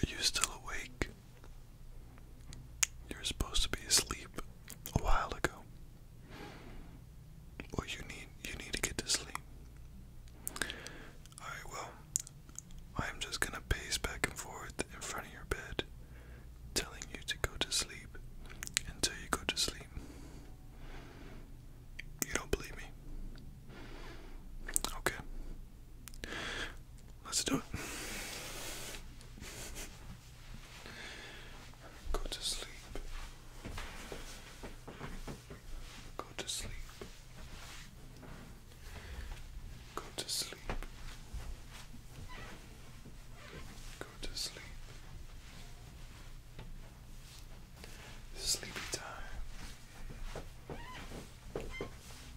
Are you still awake? You were supposed to be asleep a while ago. Well, you need you need to get to sleep. All right. Well, I'm just gonna pace back and forth in front of your bed, telling you to go to sleep until you go to sleep crazy. You don't believe me? Okay. Let's do it. Go to sleep. Go to sleep. Go to sleep. Go to sleep. Go Sleepy time.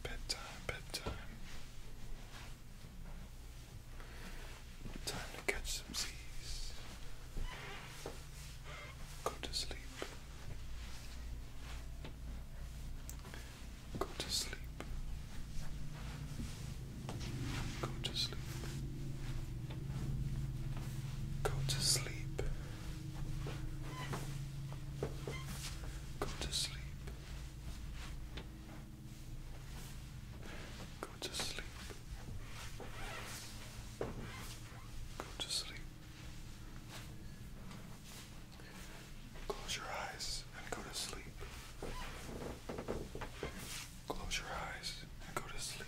Bedtime, bedtime. Time to catch some seas. Go to sleep. Go to sleep. Go to sleep. Go to sleep. Go to sleep. Go to sleep. Go to sleep. Close your eyes and go to sleep. Close your eyes and go to sleep.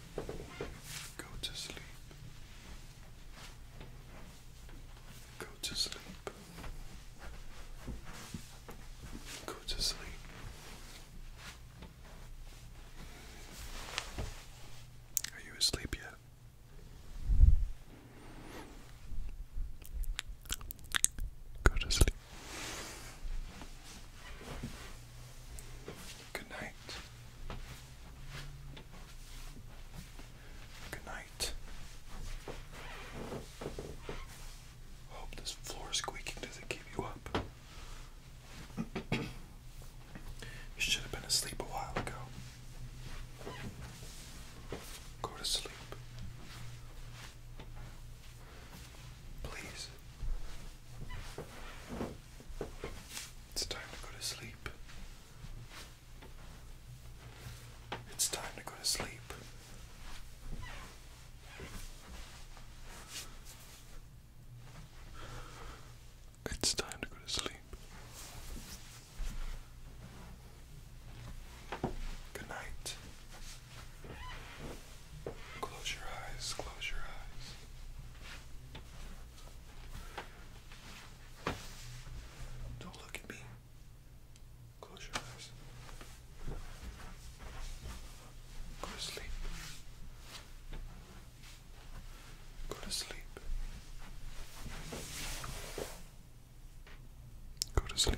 Go to sleep. Go to sleep. Go to sleep. Are you asleep yet? Go to sleep. Good night. Good night. Hope this floor squeaking doesn't keep you up. you should have been asleep a while ago. Go to sleep. Please. It's time to go to sleep. It's time to go to sleep. It's time to go to sleep. Good night. Close your eyes, close your eyes. Don't look at me. Close your eyes. Go to sleep. Go to sleep. Go to sleep.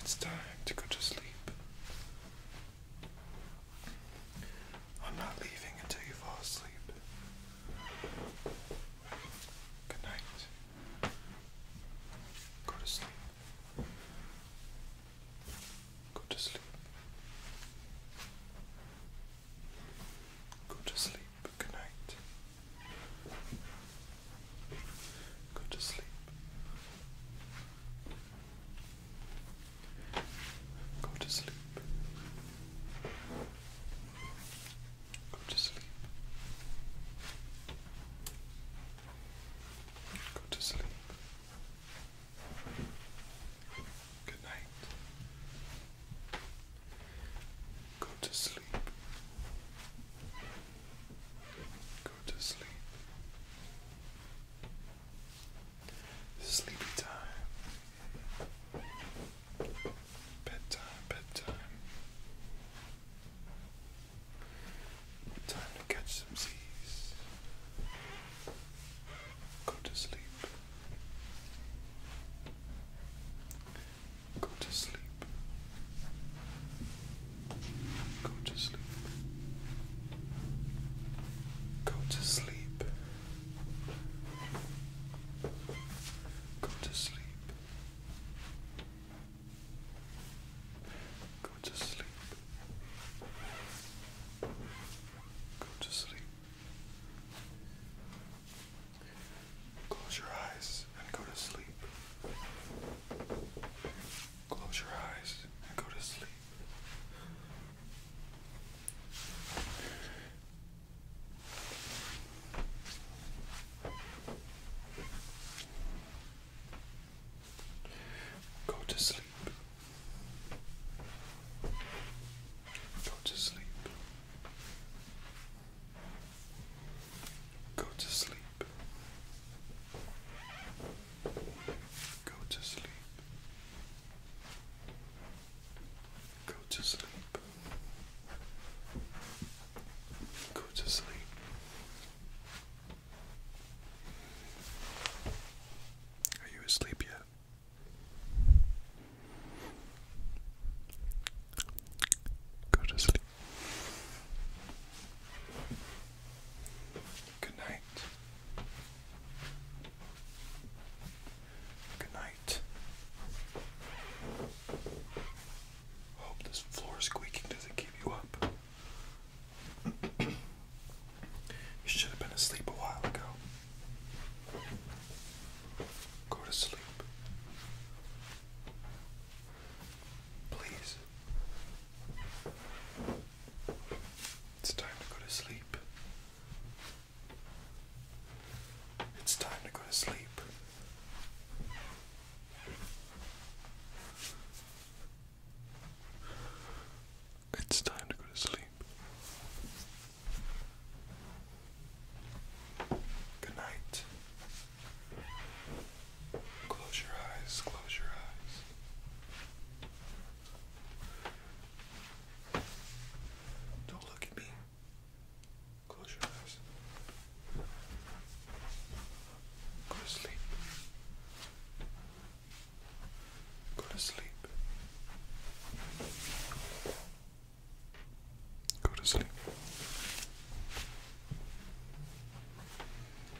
it's time to go to sleep. I'm not leaving until you fall asleep. Good night. Go to sleep. Go to sleep. Go to sleep. Good night. Go to sleep. Go to sleep. Go to sleep. Go to sleep. Good night. Go to sleep. Go to sleep. Sleepy time. Bedtime, bedtime. Time to catch some seas. Go to sleep. Go to sleep. Go to sleep. Go to sleep. Go to sleep. Go to sleep. Go to sleep. Close your eyes and go to sleep. Close your eyes and go to sleep. Go to sleep. Go to sleep. Go to sleep. Go to sleep. Go to sleep. Go to sleep. Are you asleep yet? Go to sleep. Good night. Good night. Hope this floor squeaking doesn't keep you up. you should have been asleep a while ago. Go to sleep. Please. It's time to go to sleep. It's time to go to sleep. It's time to go to sleep. Good night. Close your eyes, close your eyes. Don't look at me. Close your eyes. Go to sleep. Go to sleep. Go to sleep.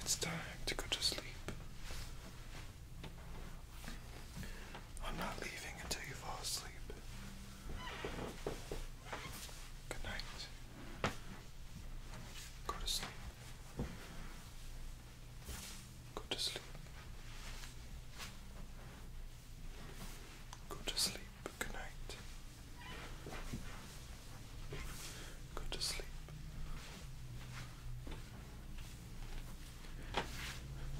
It's time to go to sleep. I'm not leaving until you fall asleep. Good night. Go to sleep. Go to sleep. Go to sleep. Good night. Go to sleep.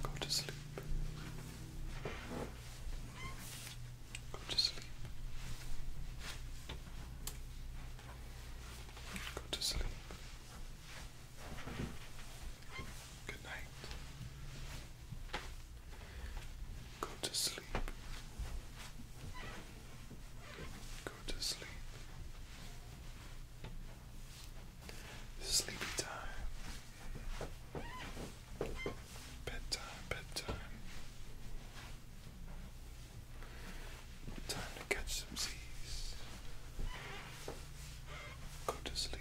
Go to sleep. Go to sleep. Go to sleep. Good night. Go to sleep. Go to sleep. Sleepy time. Bedtime, bedtime. Time to catch some seas. Go to sleep.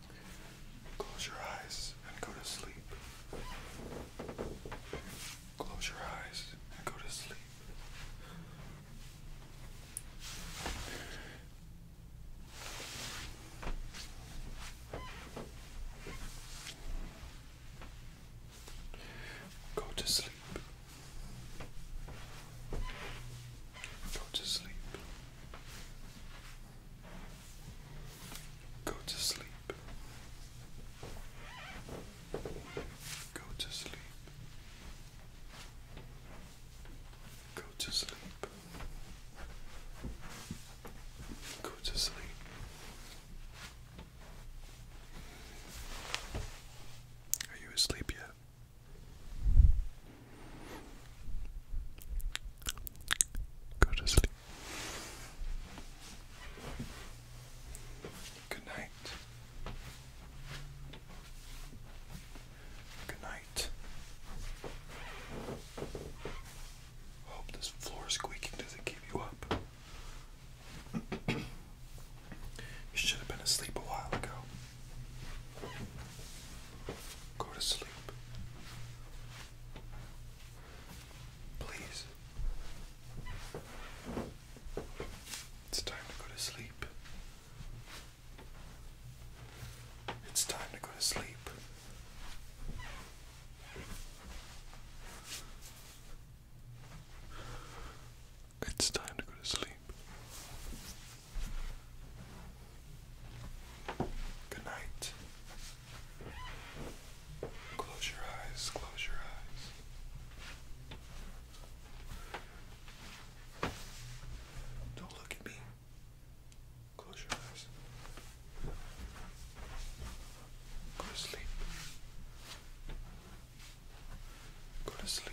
Close your eyes and go to sleep. Close your eyes and go to sleep. Go to sleep. Go to sleep. Go to sleep. Go to sleep. Go to sleep. Go to sleep. Are you asleep yet? Go to sleep. Good night. Good night. Hope this floor squeaking doesn't keep you up. you should have been asleep a while ago. Go to sleep. Please. It's time to go to sleep. It's time to go to sleep. It's time to go to sleep. Good night. Close your eyes, close your eyes. Don't look at me. Close your eyes. Go to sleep. Go to sleep.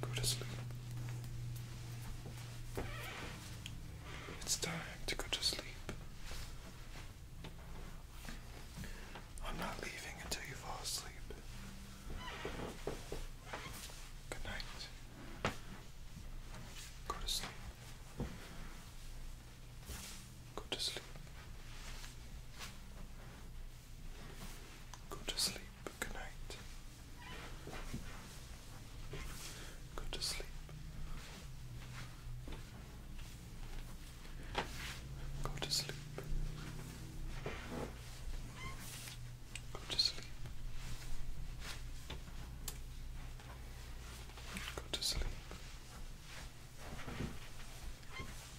Go to sleep. It's time to go to sleep. I'm not leaving until you fall asleep. Good night. Go to sleep. Go to sleep. Go to sleep. Good night. Go to sleep. Go to sleep. Go to sleep. Go to sleep.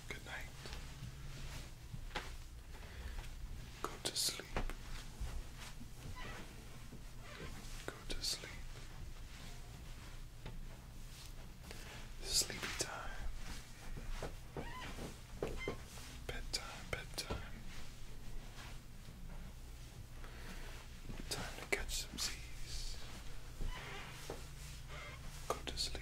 Good night. Go to sleep. Go to sleep. Sleepy time. Bedtime, bedtime. Time to catch some Z's. Go to sleep.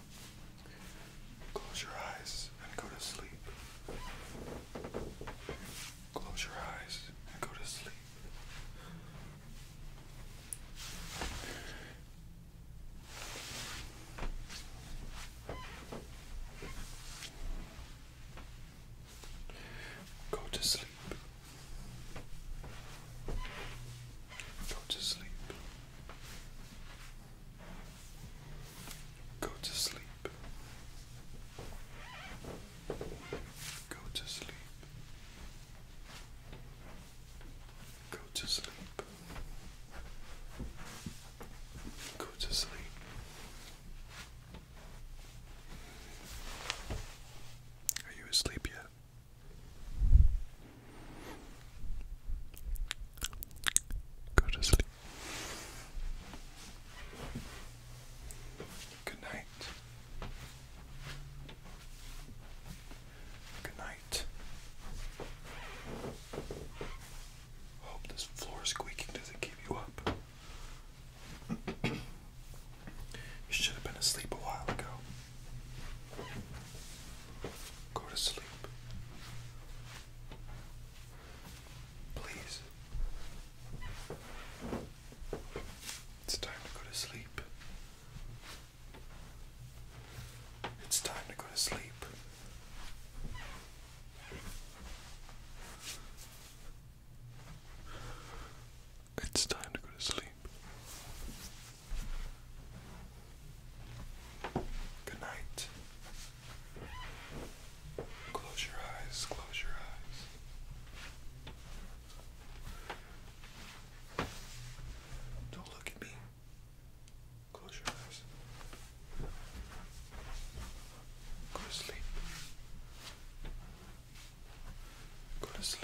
Close your eyes and go to sleep. Close your eyes and go to sleep. Go to sleep. Go to sleep. Go to sleep. Go to sleep. Go to sleep. Go to sleep. Are you asleep yet? Go to sleep. Good night. Good night. Hope this floor squeaking doesn't keep you up. you should have been asleep a while ago. Go to sleep. Please. It's time to go to sleep. It's time to go to sleep. It's time to go to sleep. Good night. Close your eyes, close your eyes. Don't look at me. Close your eyes. Go to sleep. Go to sleep.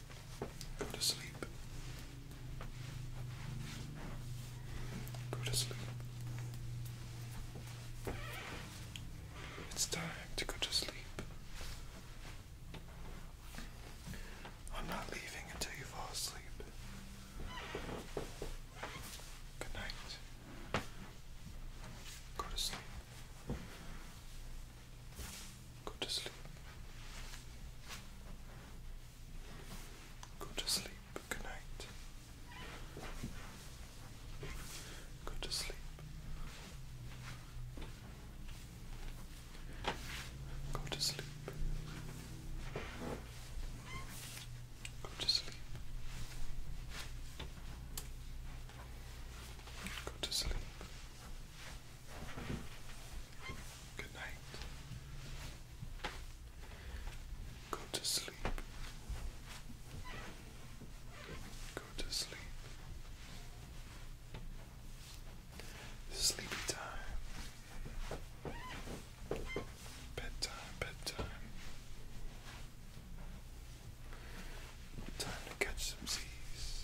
Go to sleep. Go to sleep. It's time to go to sleep. I'm not leaving until you fall asleep. Good night. Go to sleep. Go to sleep. Go to sleep. Good night. Go to sleep. Go to sleep. Go to sleep. Go to sleep. Go to sleep. Good night. Go to sleep. Go to sleep. Sleepy time. Bedtime, bedtime. Time to catch some seas.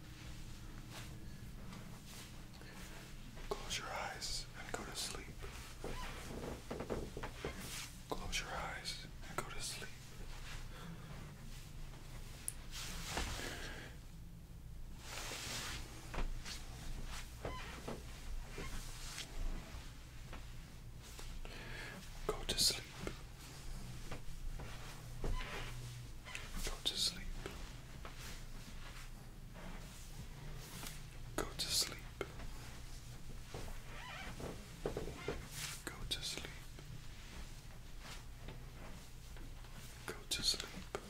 Close your eyes and go to sleep. Close your eyes and go to sleep. Go to sleep. Go to sleep. Go to sleep. Go to sleep. Go to sleep. Go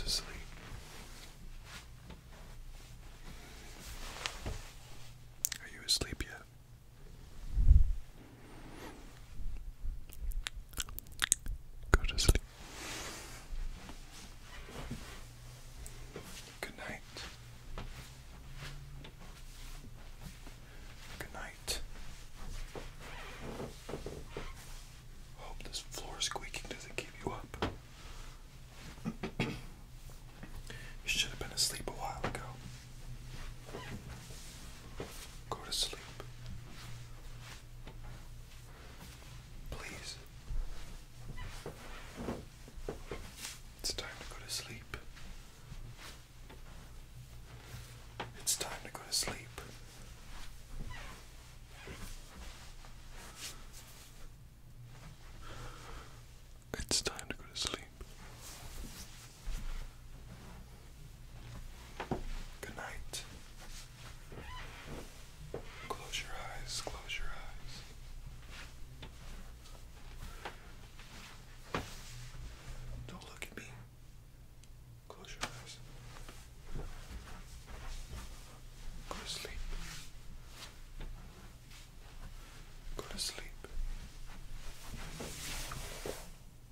to sleep. Are you asleep yet? Go to sleep. Good night. Good night. Hope this floor squeaking doesn't keep you up. you should have been asleep a while ago. Go to sleep. Please. It's time to go to sleep. It's time to go to sleep. It's time to go to sleep. Good night. Close your eyes, close your eyes. Don't look at me. Close your eyes. Go to sleep. Go to sleep.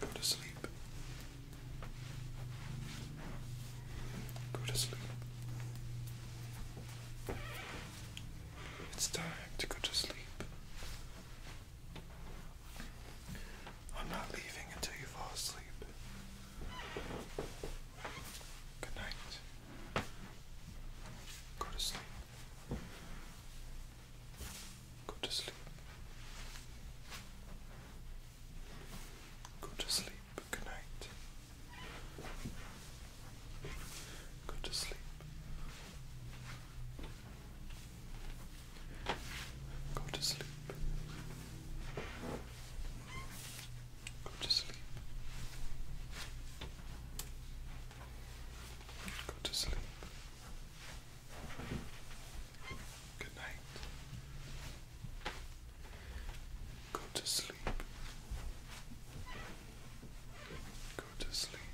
Go to sleep. Go to sleep. It's time to go to sleep. I'm not leaving until you fall asleep. Good night. Go to sleep. Go to sleep. Go to sleep. Good night. Go to sleep. Go to sleep. Go to sleep. Go to sleep. Go to sleep. Good night. Go to sleep. Go to sleep.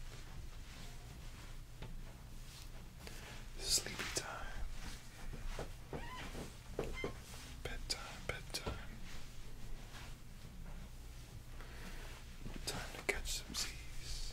Sleepy time. Bedtime, bedtime. Time to catch some seas.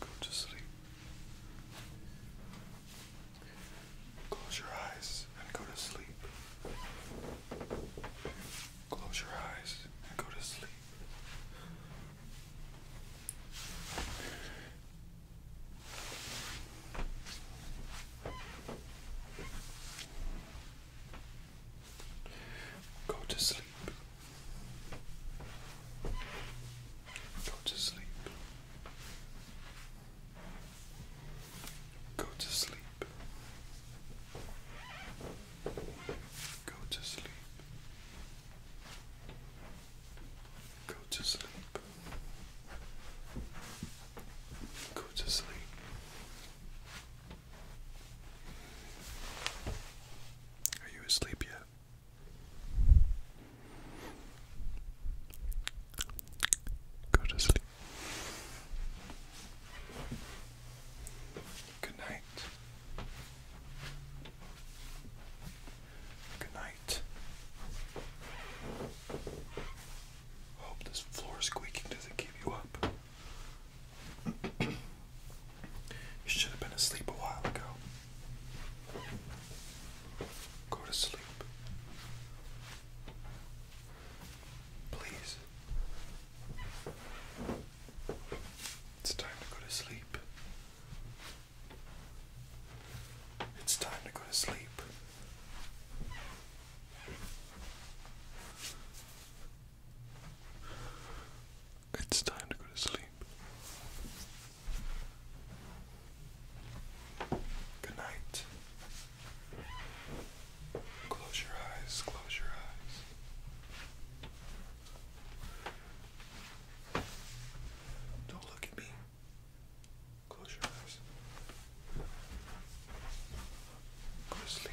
Go to sleep. Close your eyes and go to sleep. Close your eyes and go to sleep. Go to sleep. Go to sleep. Go to sleep. Go to sleep. Go to sleep. Go to sleep. Are you asleep yet? Go to sleep. Good night. Good night. Hope this floor squeaking doesn't keep you up. You should have been asleep a while ago. Go to sleep. Please. It's time to go to sleep. It's time to go to sleep. It's time to go to sleep. Good night. Close your eyes, close your eyes. Don't look at me. Close your eyes. Go to sleep.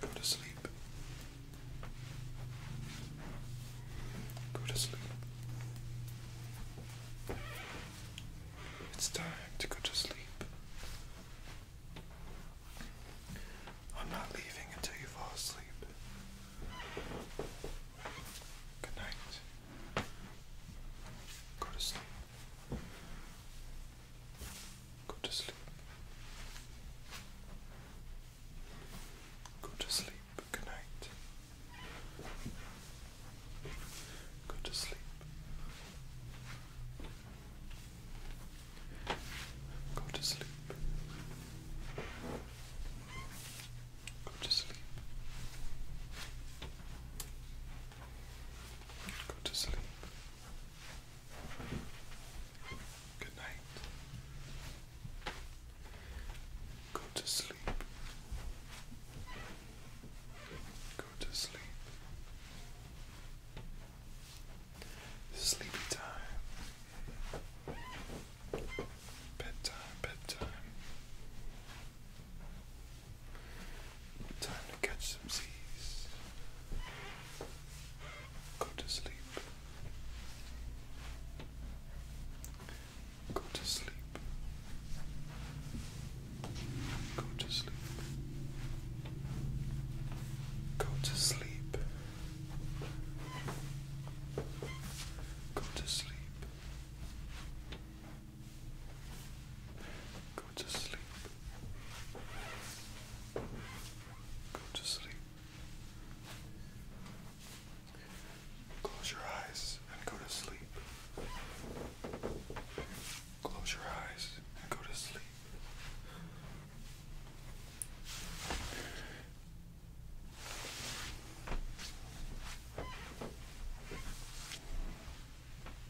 Go to sleep. Go to sleep. It's time to go to sleep. I'm not leaving until you fall asleep. Good night. Go to sleep. Go to sleep. Go to sleep. Good night. Go to sleep. Go to sleep. Go to sleep. Go to sleep. Good night. Go to sleep. Go to sleep. Sleepy time. Bedtime, bedtime. Time to catch some Z's. Go to sleep. Go to sleep. Go to sleep. Go to sleep. Go to sleep. Go to sleep. Go to sleep. Close your eyes and go to sleep. Close your eyes and go to sleep.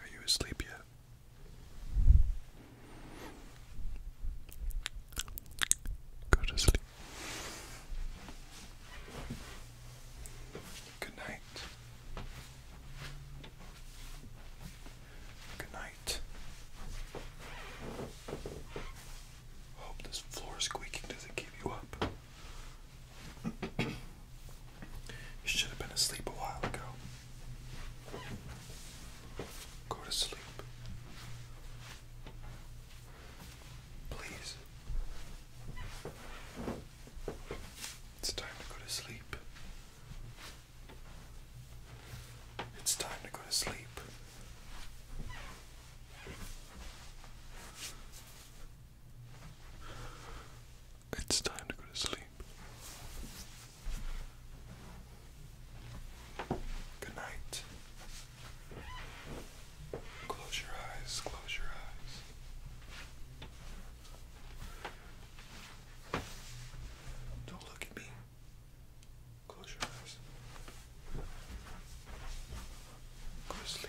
Are you asleep yet? Go to sleep. Good night. Good night. Hope this floor squeaking doesn't keep you up you should have been asleep a while ago. Go to sleep. Please. It's time to go to sleep. It's time to go to sleep. It's time to go to sleep. Good night. Close your eyes, close your eyes. Don't look at me. Close your eyes. Go to sleep.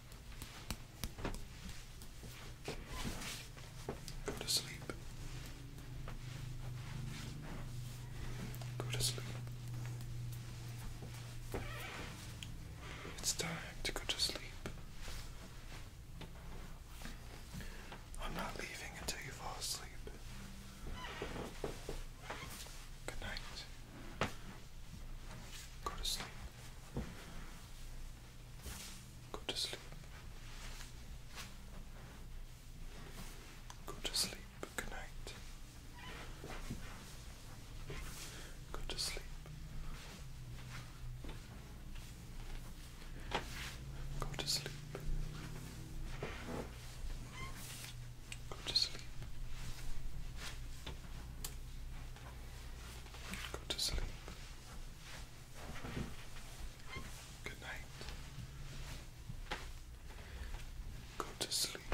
Go to sleep. Go to sleep. It's time to go to sleep. I'm not leaving until you fall asleep. Good night. Go to sleep. Go to sleep. Go to sleep. Good night. Go to sleep. Go to sleep. Go to sleep. Go to sleep. Good night. Go to sleep.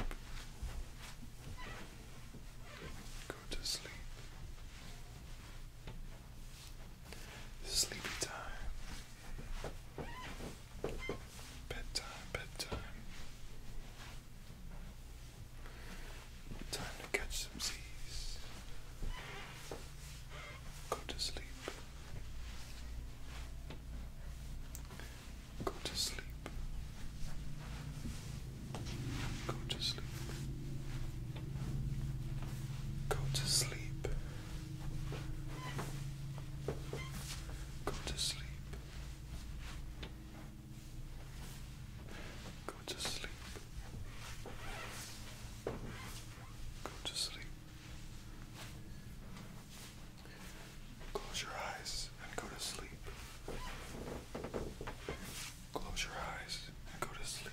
Go to sleep. Sleepy time. Bedtime, bedtime. Time to catch some Z's. Go to sleep. Go to sleep. Go to sleep. Go to sleep. Go to sleep. Go to sleep. Go to sleep. Close your eyes and go to sleep. Close your eyes and go to sleep.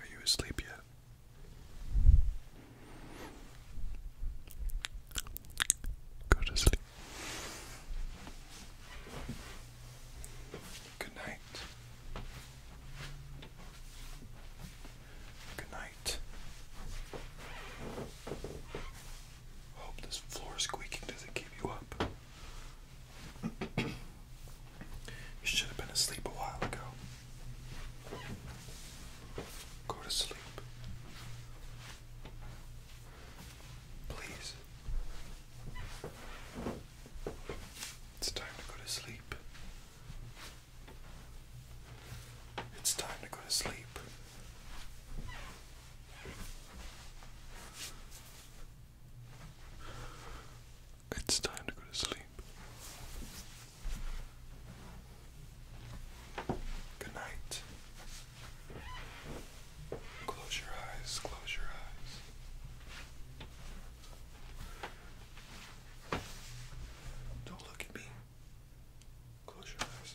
Are you asleep yet? Go to sleep. Good night. Good night. Hope this floor squeaking doesn't keep you up. you should have been asleep a while ago. Go to sleep. Please. It's time to go to sleep. It's time to go to sleep. It's time to go to sleep. Good night. Close your eyes, close your eyes. Don't look at me. Close your eyes.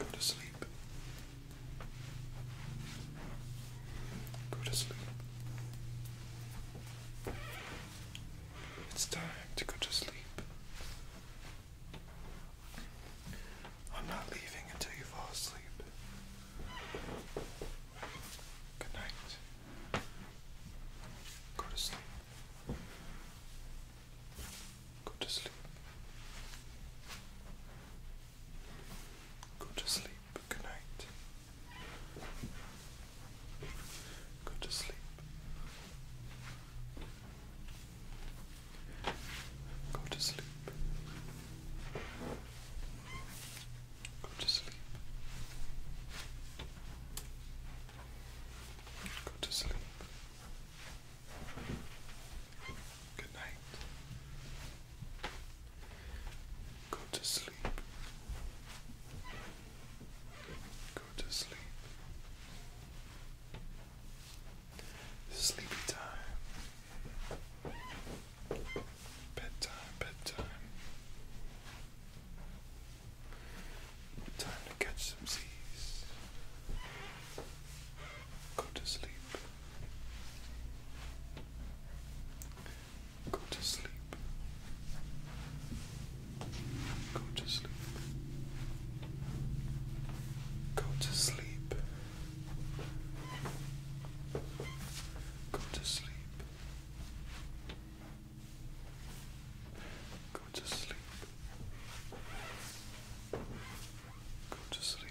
Go to sleep. Go to sleep. It's time to go to sleep. I'm not leaving until you fall asleep. Good night. Go to sleep. Go to sleep. Go to sleep. Good night. Go to sleep. Go to sleep. Go Go to sleep. Go to sleep. Good night. Go to sleep. Go to sleep. Sleepy time. Bedtime, bedtime. Time to catch some Z's. Go to sleep. Go to sleep. Go to sleep. Go to sleep. Go to sleep. Go to sleep. Go to sleep.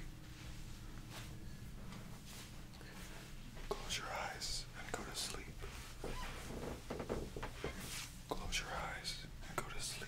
Close your eyes and go to sleep. Close your eyes and go to sleep.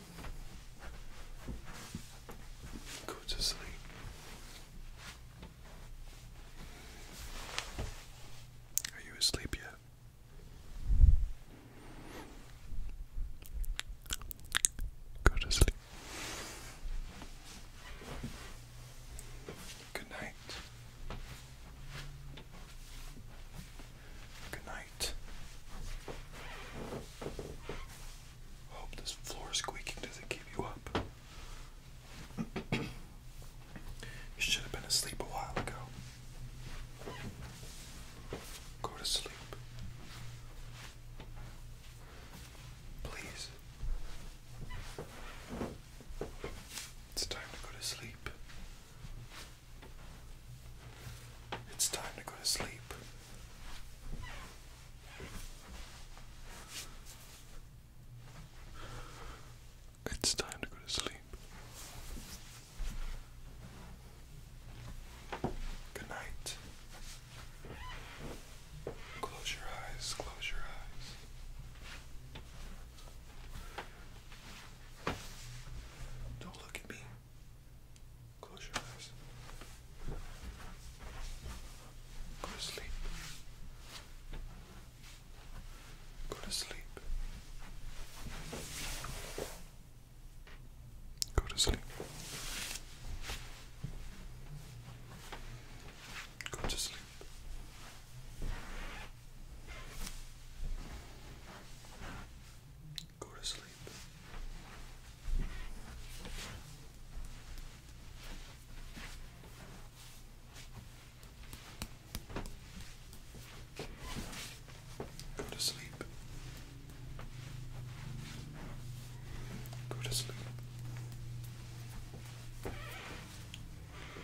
Go to sleep. Are you asleep yet? Go to sleep. Good night. Good night. Hope this floor squeaking doesn't keep you up. you should have been asleep a while ago. Go to sleep. Please. It's time to go to sleep. It's time to go to sleep. It's time to go to sleep. Good night. Close your eyes, close your eyes. Don't look at me. Close your eyes. Go to sleep. Go to sleep. Go to sleep. Go to sleep. Go to sleep. Go to sleep. Go to sleep.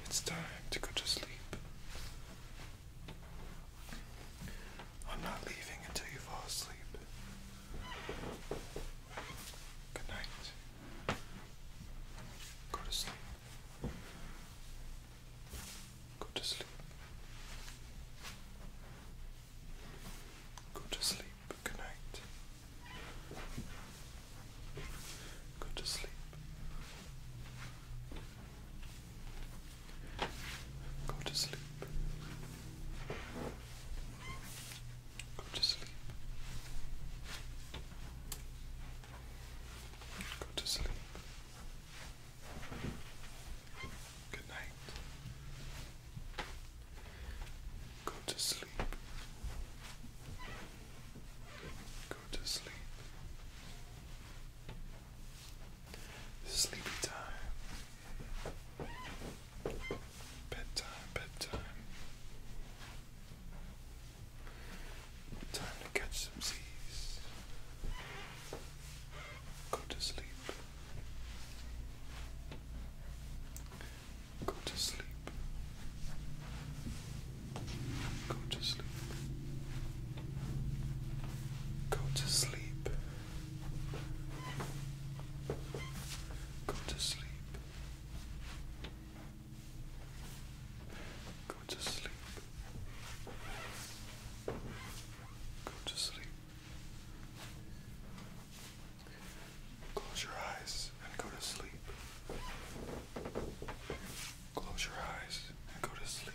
It's time to go to sleep. I'm not leaving until you fall asleep. Good night. Go to sleep. Go to sleep. Go to sleep. Good night. Go to sleep. Go to sleep. Go to sleep. Go to sleep. Good night. Go to sleep. Go to sleep. Sleepy time. Bedtime, bedtime. Time to catch some Z's. Go to sleep. Go to sleep. Go to sleep. Go to sleep. Go to sleep. Go to sleep. Go to sleep. Go to sleep. Close your eyes and go to sleep. Close your eyes and go to sleep.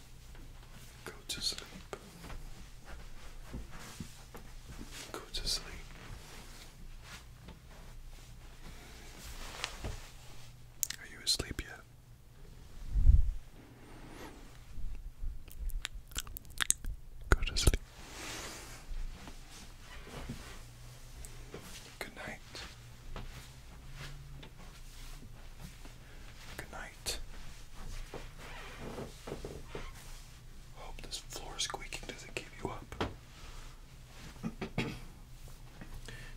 Go to sleep. Go to sleep. Are you asleep yet? Go to sleep. Good night. Good night. Hope this floor squeaking doesn't keep you up. you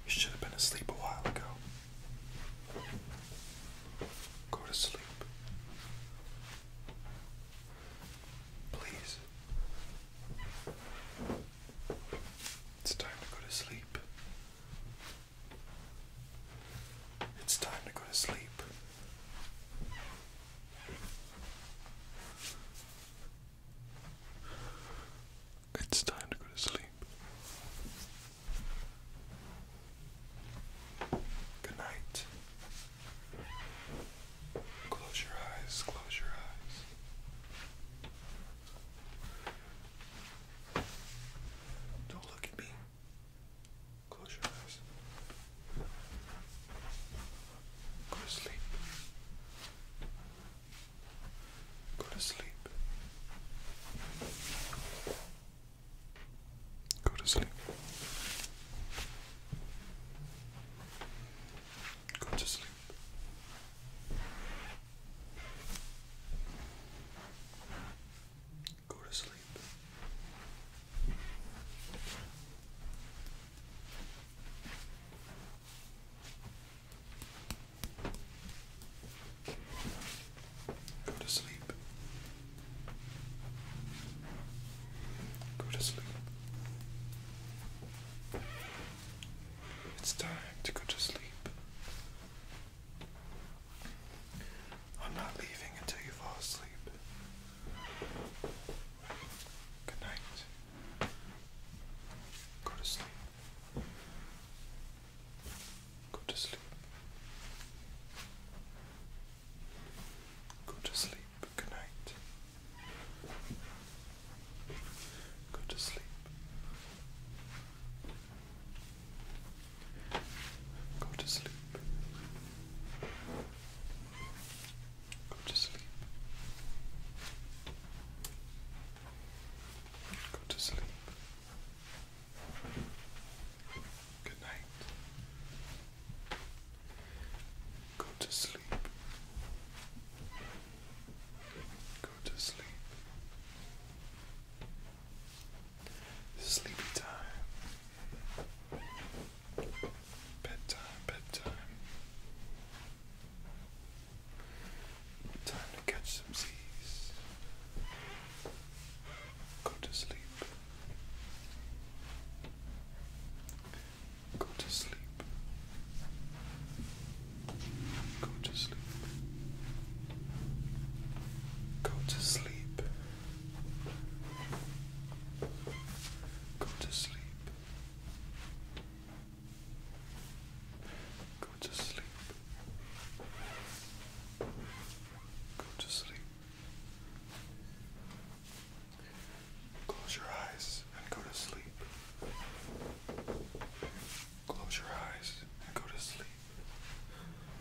should have been asleep a while ago. Go to sleep. Please. It's time to go to sleep. It's time to go to sleep. It's time to go to sleep. Good night. Close your eyes, close your eyes. Don't look at me. Close your eyes. Go to sleep. Go to sleep. Go to sleep. Go to sleep. Go to sleep. Go to sleep. Go to sleep. It's time to go to sleep. I'm not leaving until you fall asleep. Good night. Go to sleep. Go to sleep. Go to sleep. Good night. Go to sleep. Go to sleep. Go to sleep. Go to sleep. Good night. Go to sleep. Go to sleep. Sleepy time. Bedtime, bedtime. Time to catch some seas. Go to sleep. Go to sleep. Go to sleep. Go to sleep. Go to sleep. Go to sleep. Go to sleep. Close your eyes and go to sleep. Close your eyes and go to sleep.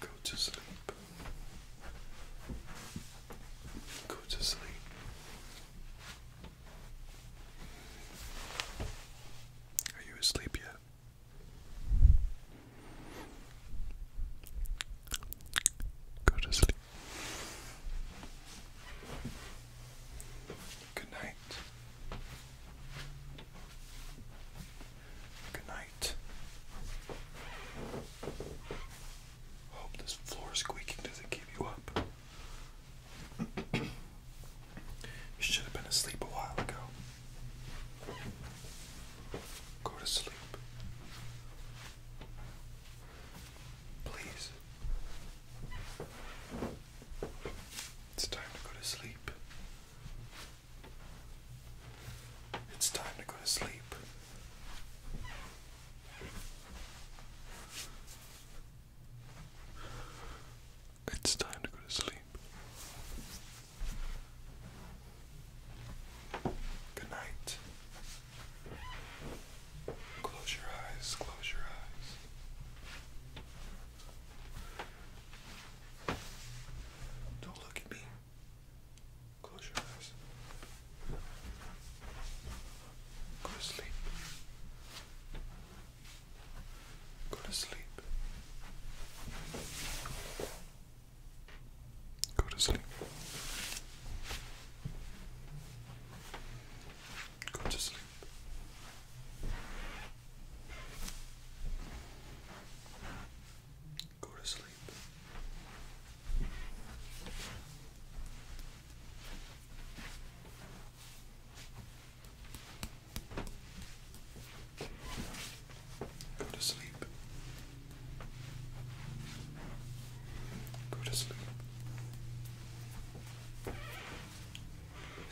Go to sleep. Go to sleep. Are you asleep yet? Go to sleep. Good night. Good night. Hope this floor squeaking doesn't keep you up. you should have been asleep a while ago. Go to sleep. Please. It's time to go to sleep. It's time to go to sleep. It's time to go to sleep. Good night. Close your eyes, close your eyes. Don't look at me. Close your eyes. Go to sleep. Go to sleep. Go to sleep. Go to sleep. Go to sleep. Go to sleep. Go to sleep.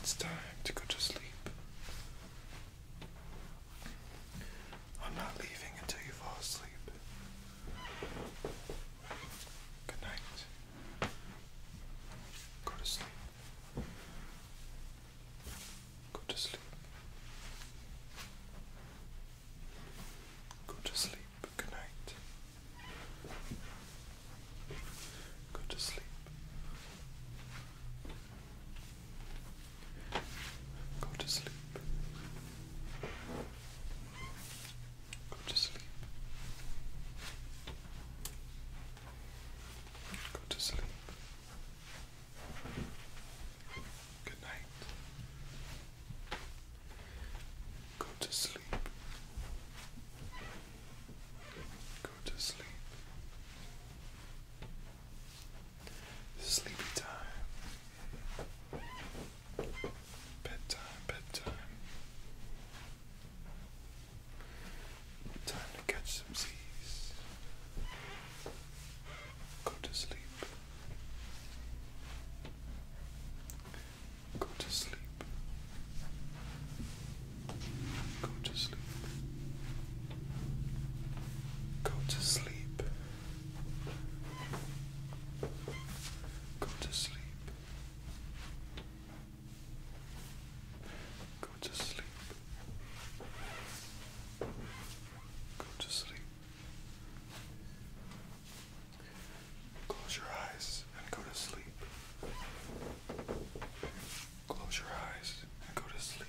It's time to go to sleep. I'm not leaving until you fall asleep. Good night. Go to sleep. Go to sleep. Go to sleep. Good night. Go to sleep. Go to sleep. Go to sleep. Go to sleep. Good night. Go to sleep. Go to sleep. Sleepy time. Bedtime, bedtime. Time to catch some Z's. Go to sleep. Go to sleep. Go to sleep. Go to sleep. Go to sleep. Go to sleep. Go to sleep. Close your eyes and go to sleep. Close your eyes and go to sleep.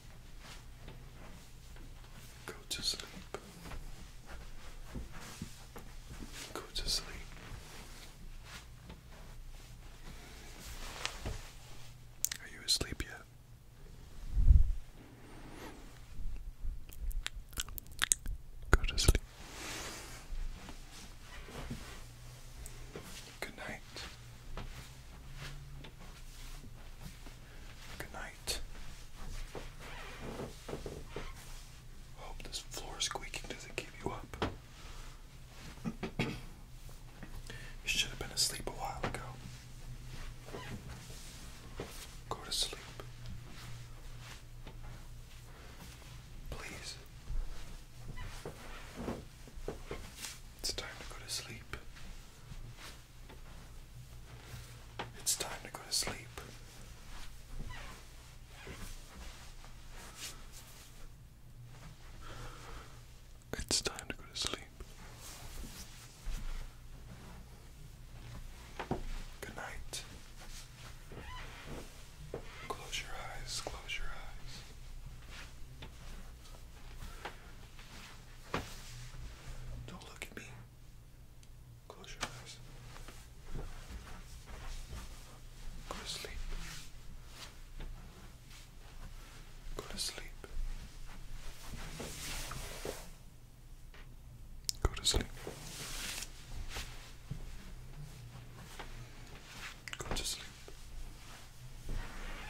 Go to sleep. Go to sleep. Are you asleep yet? Go to sleep. Good night. Good night. Hope this floor squeaking doesn't keep you up. you should have been asleep a while ago. Go to sleep. Please. It's time to go to sleep. It's time to go to sleep. It's time to go to sleep. Good night. Close your eyes, close your eyes. Don't look at me. Close your eyes. Go to sleep. Go to sleep. Go to sleep. Go to sleep.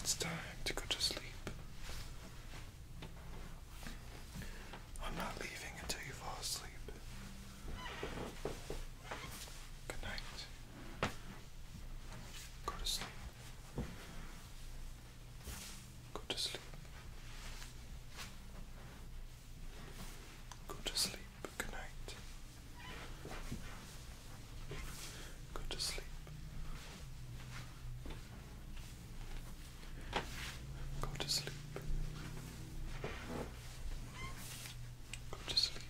It's time to go to sleep. I'm not leaving until you fall asleep. Good night. Go to sleep. Go to sleep. Go to sleep. Good night. Go to sleep. Go to sleep. Go to sleep.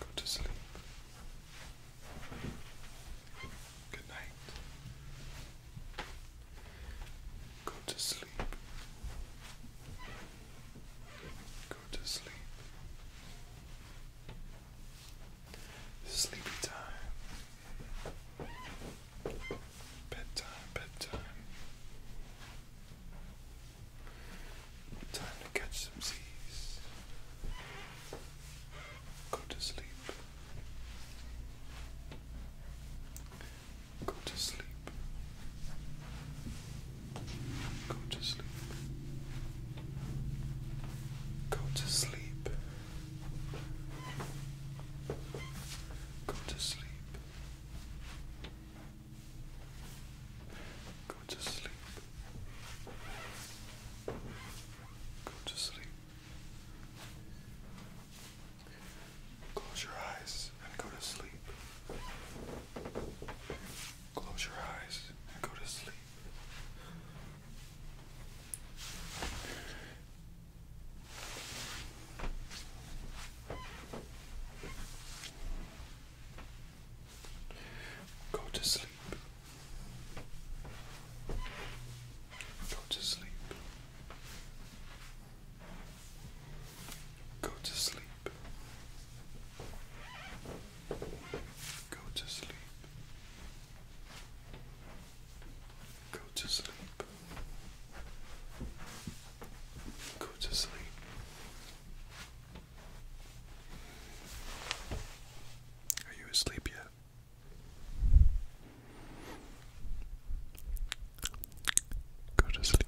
Go to sleep. Good night. Go to sleep go to sleep. Sleepy time. Bedtime, bedtime. Time to catch some seas. Go to sleep. Go to sleep. Go to sleep. Go to sleep. Go to sleep. Go to sleep. Go to sleep. Close your eyes and go to sleep. Close your eyes and go to sleep. Go to sleep. Go to sleep. Go to sleep. Go to sleep. Go to sleep. Go to sleep. Are you asleep yet? Go to sleep.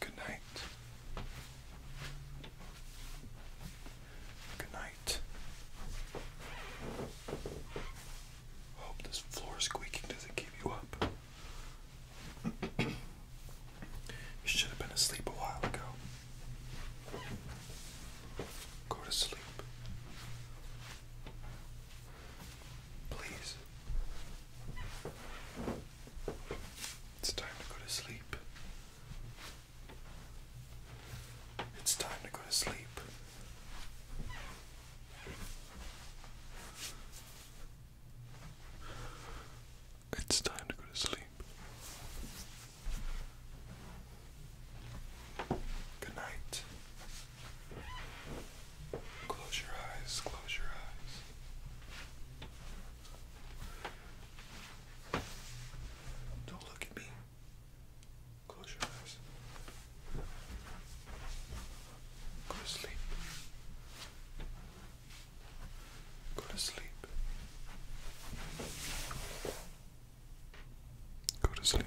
Good night. Good night. Hope this floor squeaking doesn't keep you up. you should have been asleep a while ago. Go to sleep. Please. It's time to go to sleep. It's time to go to sleep. It's time to go to sleep. Good night. Close your eyes, close your eyes. Don't look at me. Close your eyes. Go to sleep. Go to sleep. Go to sleep.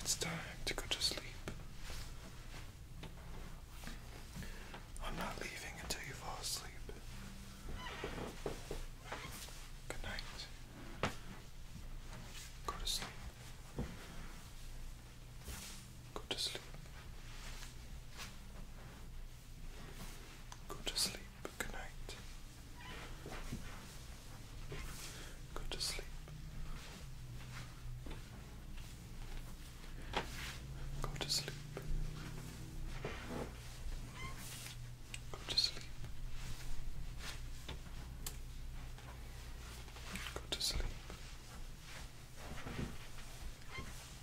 it's time to go to sleep. I'm not leaving until you fall asleep. Good night. Go to sleep. Go to sleep. Go to sleep. Good night. Go to sleep. Go to sleep. Go to sleep. Go to sleep.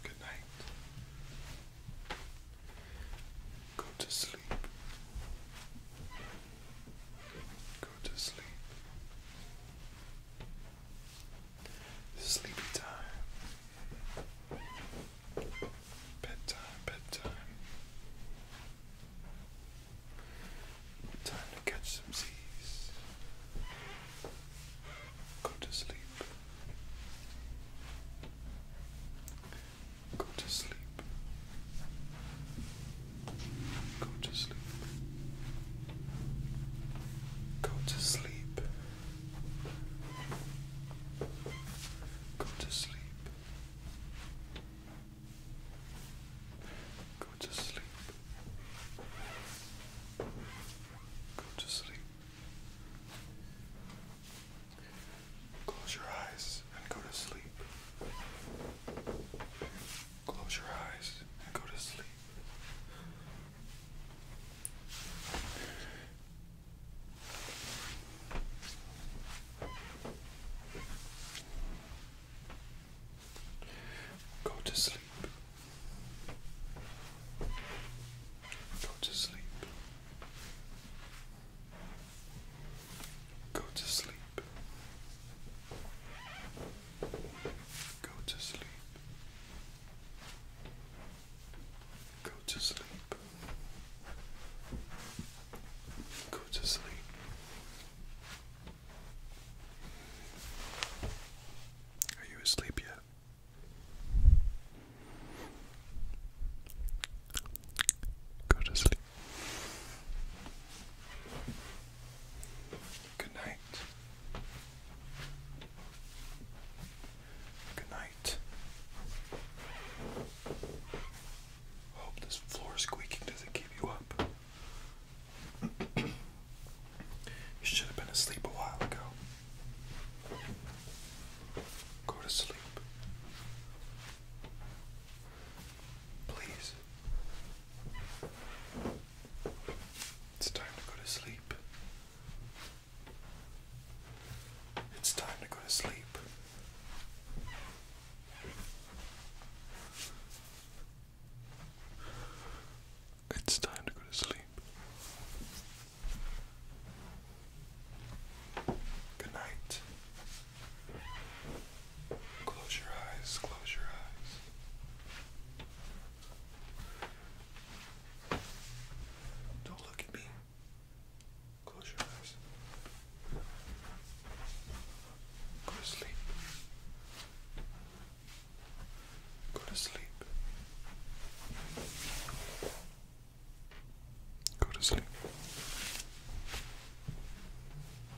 Good night. Go to sleep. Go to sleep. Sleepy time. Bedtime, bedtime. Time to catch some seas. Go to sleep. Go to sleep. Go to sleep. Go to sleep. Go to sleep. Go to sleep. Go to sleep. Close your eyes and go to sleep. Close your eyes and go to sleep. Go to sleep. Go to sleep. Go to sleep. Go to sleep. Go to sleep. Go to sleep. Are you asleep yet? Go to sleep. Good night. Good night. Hope this floor squeaking doesn't keep you up. you should have been asleep a while ago. Go to sleep. Please. It's time to go to sleep. It's time to go to sleep. It's time to go to sleep. Good night. Close your eyes, close your eyes. Don't look at me. Close your eyes. Go to sleep. Go to sleep. Go to sleep.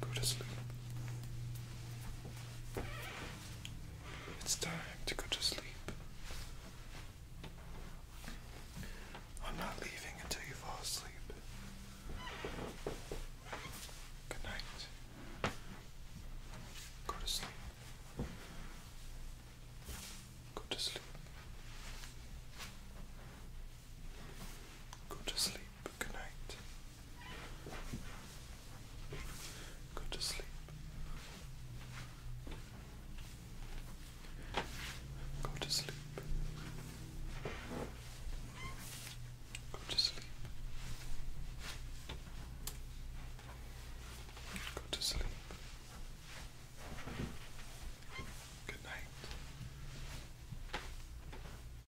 Go to sleep. It's time to go to sleep. I'm not leaving until you fall asleep. Good night. Go to sleep. Go to sleep. Go to sleep. Good night. Go to sleep. Go to sleep. Go to sleep. Go to sleep. Good night.